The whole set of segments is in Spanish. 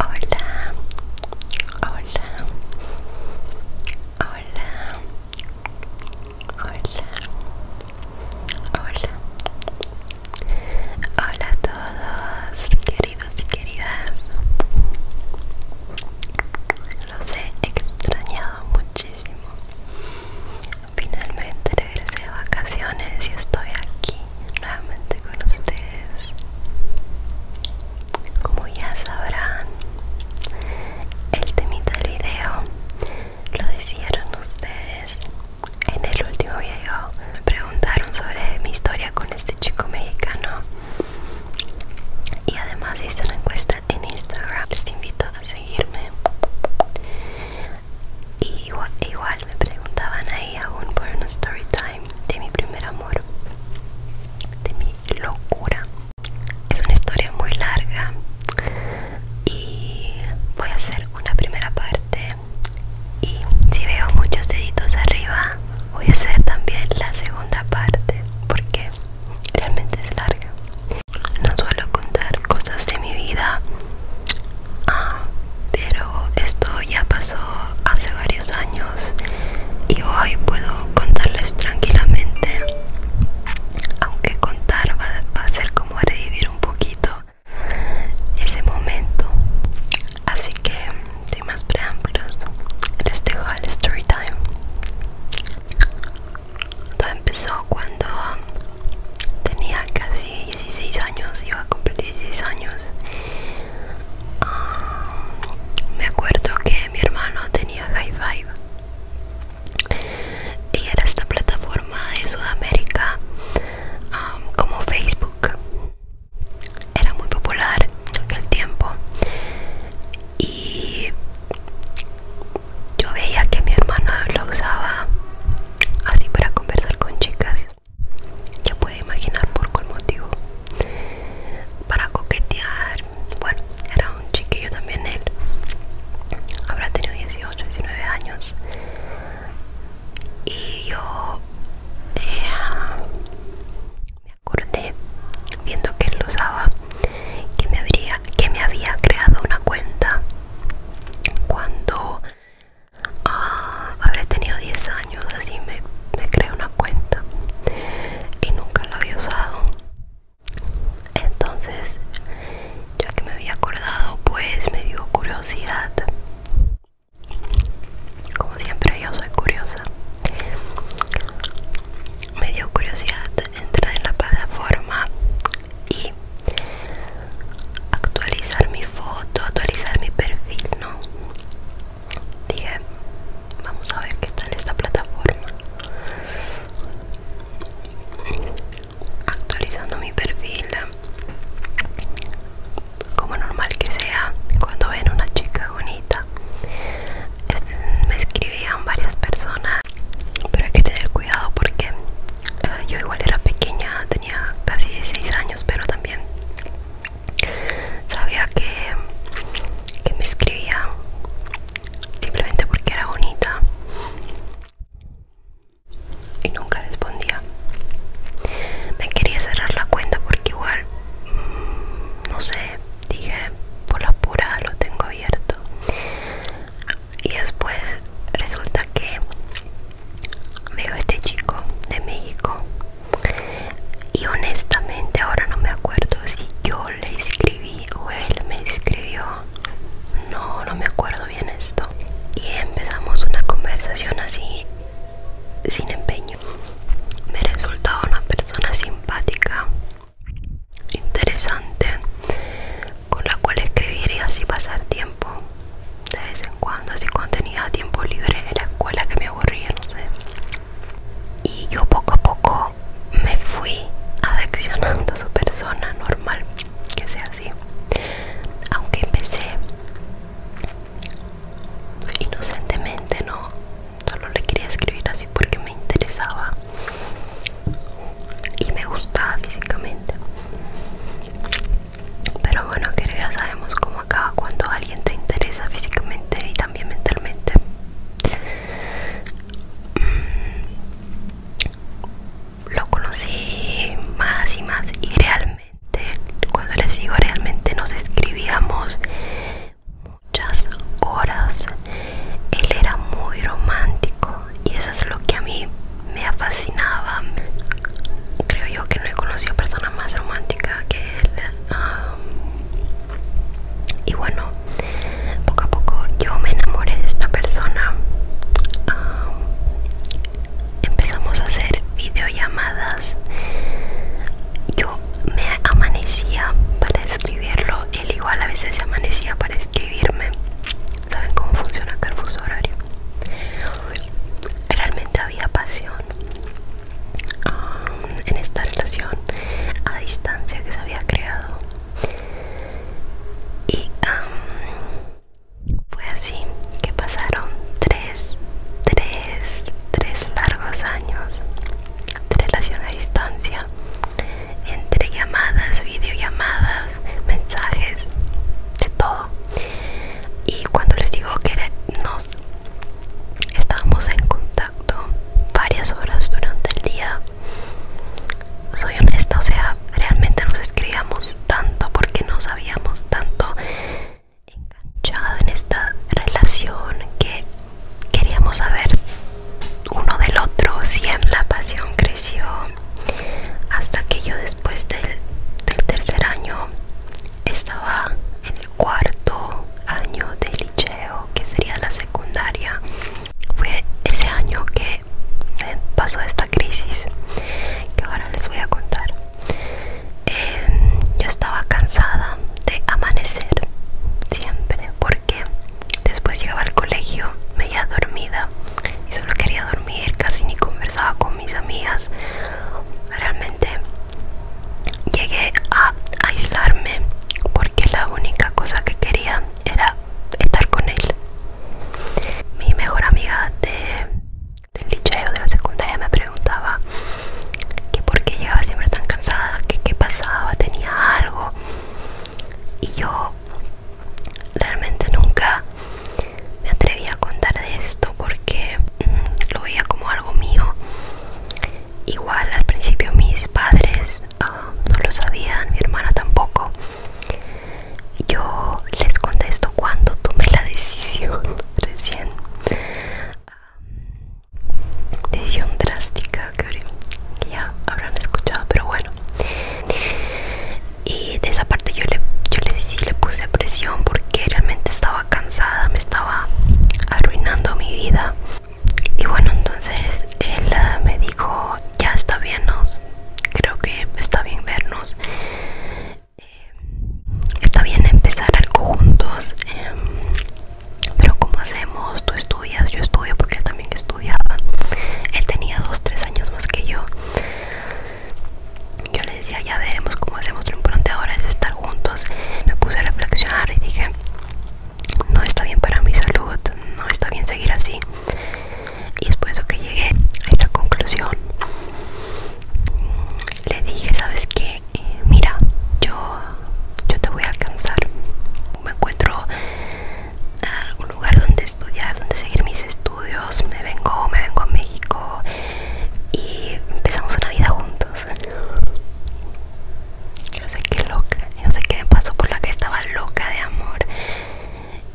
Hola, hola, hola, hola, hola, hola a todos, queridos y queridas. Los he extrañado muchísimo. Finalmente regresé de vacaciones y estoy aquí nuevamente con ustedes. Como ya sabrán, el temita del video lo hicieron ustedes en el último video. Me preguntaron sobre mi historia con este chico mexicano y además hice una encuesta en Instagram. Les invito a seguirme y igual, me preguntaban ahí aún por una story time de mi primer amor, de mi locura. Es una historia muy larga y voy a hacer una primera parte. Y si veo muchos deditos arriba, voy a hacer también la segunda parte porque realmente es larga. No suelo contar cosas de mi vida Ah, pero esto ya pasó hace varios años y hoy puedo contarles tranquilamente, aunque contar va, va a ser como revivir un poquito ese momento. Así que, sin más preámbulos, les dejo el story time. Todo empezó cuando tenía casi 16 años, iba a cumplir 16 años. Ah, me acuerdo que mi hermano tenía High Five y era esta plataforma de Sudamérica como Facebook. Era muy popular en aquel tiempo y yo veía que mi hermano lo usaba así para conversar con chicas. Ya puede imaginar por cuál motivo. Para coquetear. Bueno, era un chiquillo también él. Habrá tenido 18, 19 años. Y yo me acordé viendo que él lo usaba que que me había creado una cuenta cuando ah, habré tenido 10 años así me, me creé una cuenta y nunca la había usado entonces ya que me había acordado pues me dio curiosidad como siempre yo soy curiosa me dio curiosidad entrar en la plataforma y actualizar mi foto, actualizar mi perfil, ¿no? Dije, vamos a ver qué tal esta plataforma. Actualizando mi perfil, como normal que sea, cuando ven una chica bonita, me escribían varias personas pero hay que tener cuidado porque eh, yo igual era pequeña tenía casi 16 años pero también sabía que, me escribía simplemente porque era bonita y nunca respondía me quería cerrar la cuenta porque igual mm, no sé dije por la pura lo tengo abierto y después resulta que veo a este chico de México y honestamente ahora no me acuerdo si yo le escribí o él me escribió no no me acuerdo bien esto y empezamos una conversación así sin empeño me resultaba una persona simpática interesante con la cual escribir y así pasar tiempo de vez en cuando, así cuando tenía tiempo libre en la escuela que me aburría, no sé. Y yo poco a poco me fui adaccionando a su persona normal, que sea así. Aunque empecé inocentemente, no, solo le quería escribir así porque me interesaba y me gustaba físicamente. Pero bueno, que ya sabemos cómo acaba cuando alguien te interesa físicamente y también mentalmente. Mm, lo conocí más y más y realmente, cuando les digo realmente, nos escribíamos muchas horas. Él era muy romántico y eso es lo que a mí me fascinaba. Creo yo que no he conocido persona más romántica que él. Um, y bueno, poco a poco yo me enamoré de esta persona. Um, empezamos a hacer videollamadas. Yo me amanecía para escribirlo él igual a veces se amanecía para escribirme. ¿Saben cómo funciona acá el horario? Realmente había pasión um, en esta relación a distancia que se había creado. Y um, fue así que pasaron tres, tres, tres largos años de relación a distancia entre llamadas, videollamadas, mensajes, de todo. Y cuando les digo que nos estábamos en contacto varias horas durante el día, soy honesta, o sea, realmente nos escribíamos tanto porque nos habíamos tanto enganchado en esta relación que queríamos saber uno del otro si la pasión creció hasta que yo después del, tercer año estaba en el cuarto año de liceo que sería la secundaria fue ese año que pasó esta crisis que ahora les voy a contar em, yo estaba cansada de amanecer siempre porque después llegaba al colegio media dormida y solo quería dormir casi ni conversaba con mis amigas realmente llegué a aislarme porque la única cosa que quería era estar con él mi mejor amiga del liceo de la secundaria me preguntaba que porque llegaba siempre tan cansada, que qué pasaba, tenía algo. Y yo realmente nunca me atreví a contar de esto porque mm, lo veía como algo mío. Igual al principio mis padres ah, no lo sabían, mi hermana tampoco. Yo les contesto cuando tomé la decisión recién decisión drástica que, ya habrán escuchado pero bueno y de esa parte yo le yo le, sí le puse presión porque realmente estaba cansada me estaba arruinando mi vida y bueno entonces él ah, me dijo ya está bien nos creo que está bien vernos eh, está bien empezar algo juntos em, pero como hacemos, tú estudias, yo estudio porque él también estudiaba. Él tenía dos, tres años más que yo. Yo le decía, ya veremos cómo hacemos. Lo importante ahora es estar juntos. Me puse a reflexionar y dije, no está bien para mi salud, no está bien seguir así. Y después de que llegué a esta conclusión. Le dije, ¿sabes qué? Eh, mira, yo, te voy a alcanzar. Me encuentro un lugar donde estudiar, donde seguir mis estudios. Me vengo, me vengo a México y empezamos una vida juntos. Yo sé qué loca, yo sé qué me pasó por la que estaba loca de amor.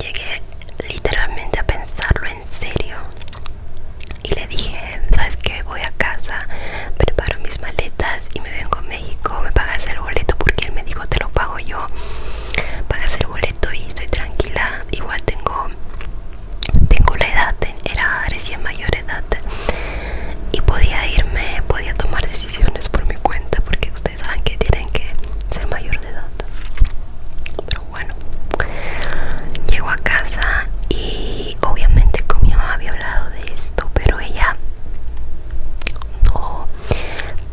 Llegué literalmente a pensarlo en serio y le dije, ¿sabes qué? Voy a casa, preparo mis maletas y me vengo a México, me pagas el boleto porque él me dijo, te lo pago yo, pagas el boleto y estoy tranquila, igual tengo, tengo la edad, era recién mayor edad y podía irme, podía tomar decisiones por mi cuenta porque ustedes saben que tienen que ser mayor de edad. Pero bueno, llego a casa y obviamente con mi mamá había hablado de esto pero ella no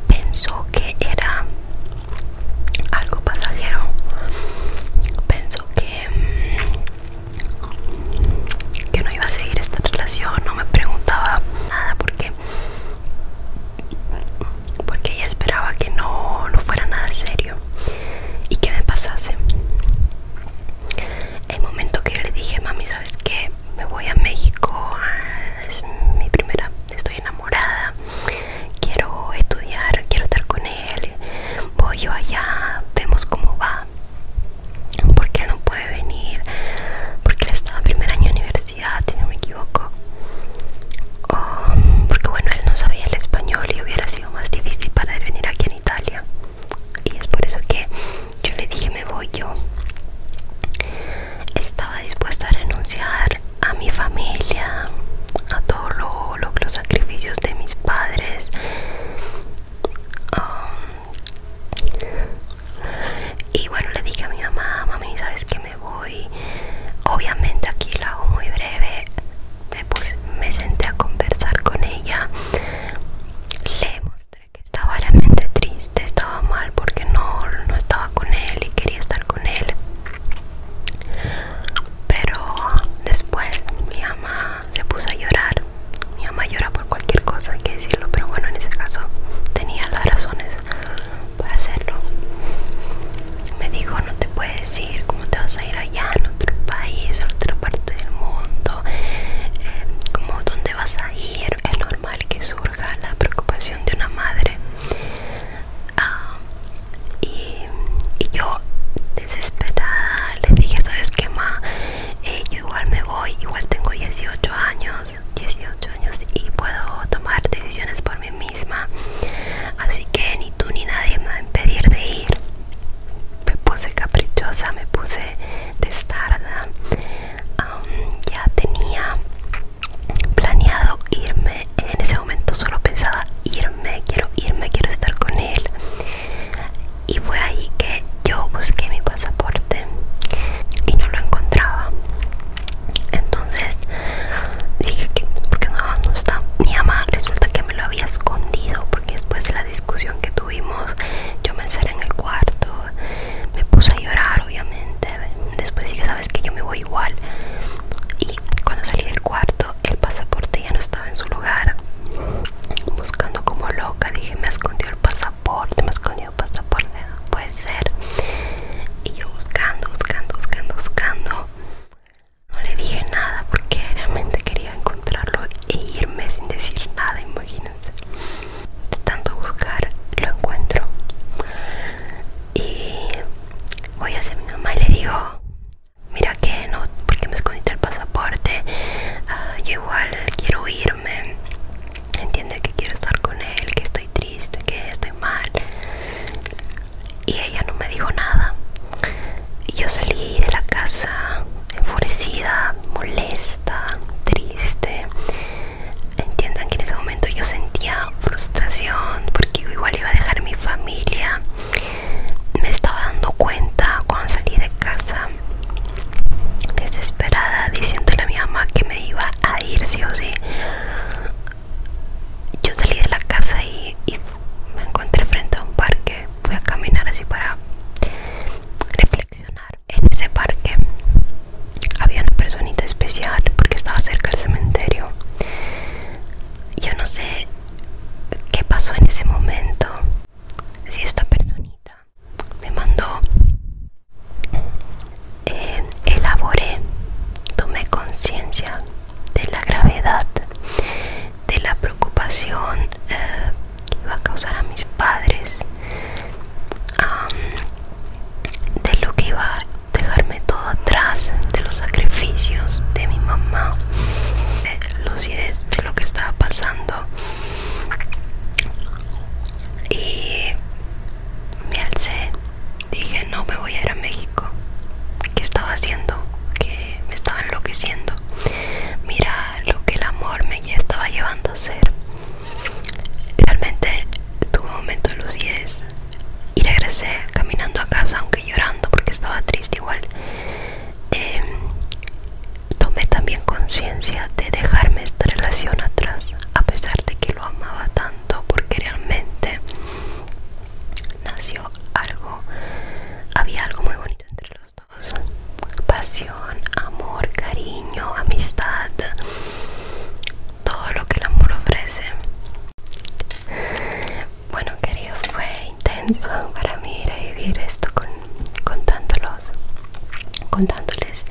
pensó que era algo pasajero pensó mm, que no iba a seguir esta relación no me preguntaba nada porque porque ella esperaba que no fuera nada serio y qué me pasase. El momento que yo le dije, mami, ¿sabes qué? Me voy a México, ah, es mi primera, estoy enamorada, quiero estudiar, quiero estar con él, voy yo allá, vemos cómo va, porque él no puede venir, porque él estaba en primer año de universidad, si no me equivoco, o oh, porque bueno, él no sabía el español y hubiera sido más difícil para él venir aquí en Italia y es por eso que yo le dije me voy yo estaba dispuesta a renunciar a mi familia a todos los sacrificios de mis padres um, y bueno le dije a mi mamá mami sabes que me voy obviamente aquí lo hago muy breve después me senté a conversar con ella le mostré que estaba realmente triste estaba mal porque no, no estaba con él y quería estar con él pero después mi mamá se puso a llorar mi mamá llora por cualquier cosa hay que decirlo pero bueno en ese caso tenía las razones para hacerlo me dijo, no te puedes ir, ¿cómo te vas a ir allá en otro país, en otra parte del mundo? Eh, dónde vas a ir? Es normal que surja la preocupación de una madre. Ah, y, yo desesperada le dije, ¿sabes qué, ma? Eh, yo igual me voy, igual tengo 18 años, 18 años y puedo tomar decisiones por mí misma así que ni tú ni nadie me va a impedir de ir me puse caprichosa me puse destarda ya tenía planeado irme en ese momento solo pensaba irme quiero irme quiero estar con él y fue ahí que yo busqué mi pasaporte y no lo encontraba entonces dije que porque no, no está mi mamá resulta que me lo había escondido porque después de la discusión que tuvimos yo me encerré en el cuarto me puse a llorar obviamente después dije sabes que yo me voy igual y cuando salí del cuarto el pasaporte ya no estaba en su lugar buscando como loca dije me ha escondido el pasaporte me ha escondido el pasaporte puede ser y yo buscando buscando buscando buscando no le dije nada porque realmente quería encontrarlo e irme sin decir nada, imagínense. De tanto buscar, lo encuentro. Y voy hacia mi mamá y le digo, mira que no, porque me escondiste el pasaporte. Ah, yo igual quiero irme. Entiende que quiero estar con él, que estoy triste, que estoy mal y ella no me dijo nada. Y yo salí de la casa enfurecida, molesta, triste. Entiendan que en ese momento yo sentía frustración porque igual iba a dejar mi familia. Me estaba dando cuenta cuando salí de casa desesperada diciéndole a mi mamá que me iba a ir sí o sí yo salí de la casa y, me encontré frente a un parque. Fui a caminar así para reflexionar. En ese parque había una personita especial porque estaba cerca del cementerio. Yo no sé qué pasó en ese momento. Si esta personita me mandó eh, elaboré, tomé conciencia de la gravedad, de la preocupación que eh, iba a causar a mis padres, de lo que iba a dejarme todo atrás, de los sacrificios de mi mamá, de lucidez de lo que estaba pasando. Y me alcé, dije no me voy a ir a México. ¿Qué estaba haciendo? Que me estaba enloqueciendo. Mira lo que el amor me estaba llevando a hacer. Realmente tuve un momento de lucidez y regresé caminando a casa, aunque llorando porque estaba triste igual. Em, tomé también conciencia de dejarme esta relación atrás, a pesar de que lo amaba tanto porque realmente nació algo, había algo muy bonito entre los dos. Pasión, amor, cariño, amistad, todo lo que el amor ofrece. Bueno queridos, fue intenso para mí ir a vivir esto con, contándolos, contándoles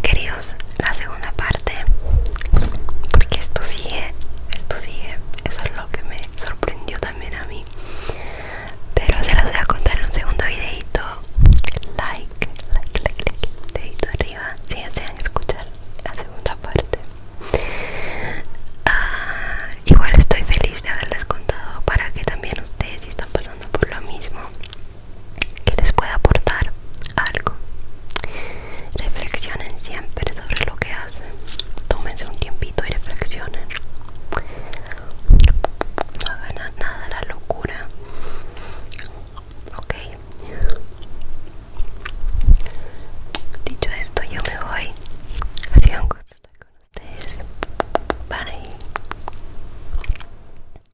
Queridos, la segunda parte, porque esto sigue, esto sigue, eso es lo que me sorprendió también a mí. Pero se las voy a contar en un segundo videito. Like, like, like, like, arriba si desean escuchar la segunda parte. Ah, igual estoy feliz de haberles contado para que también ustedes si están pasando por lo mismo que les pueda aportar algo. Reflexionen siempre sobre lo que hacen. Tómense un tiempito y reflexionen. No hagan nada la locura. Ok. Dicho esto, yo me voy. Ha sido un con ustedes. Bye.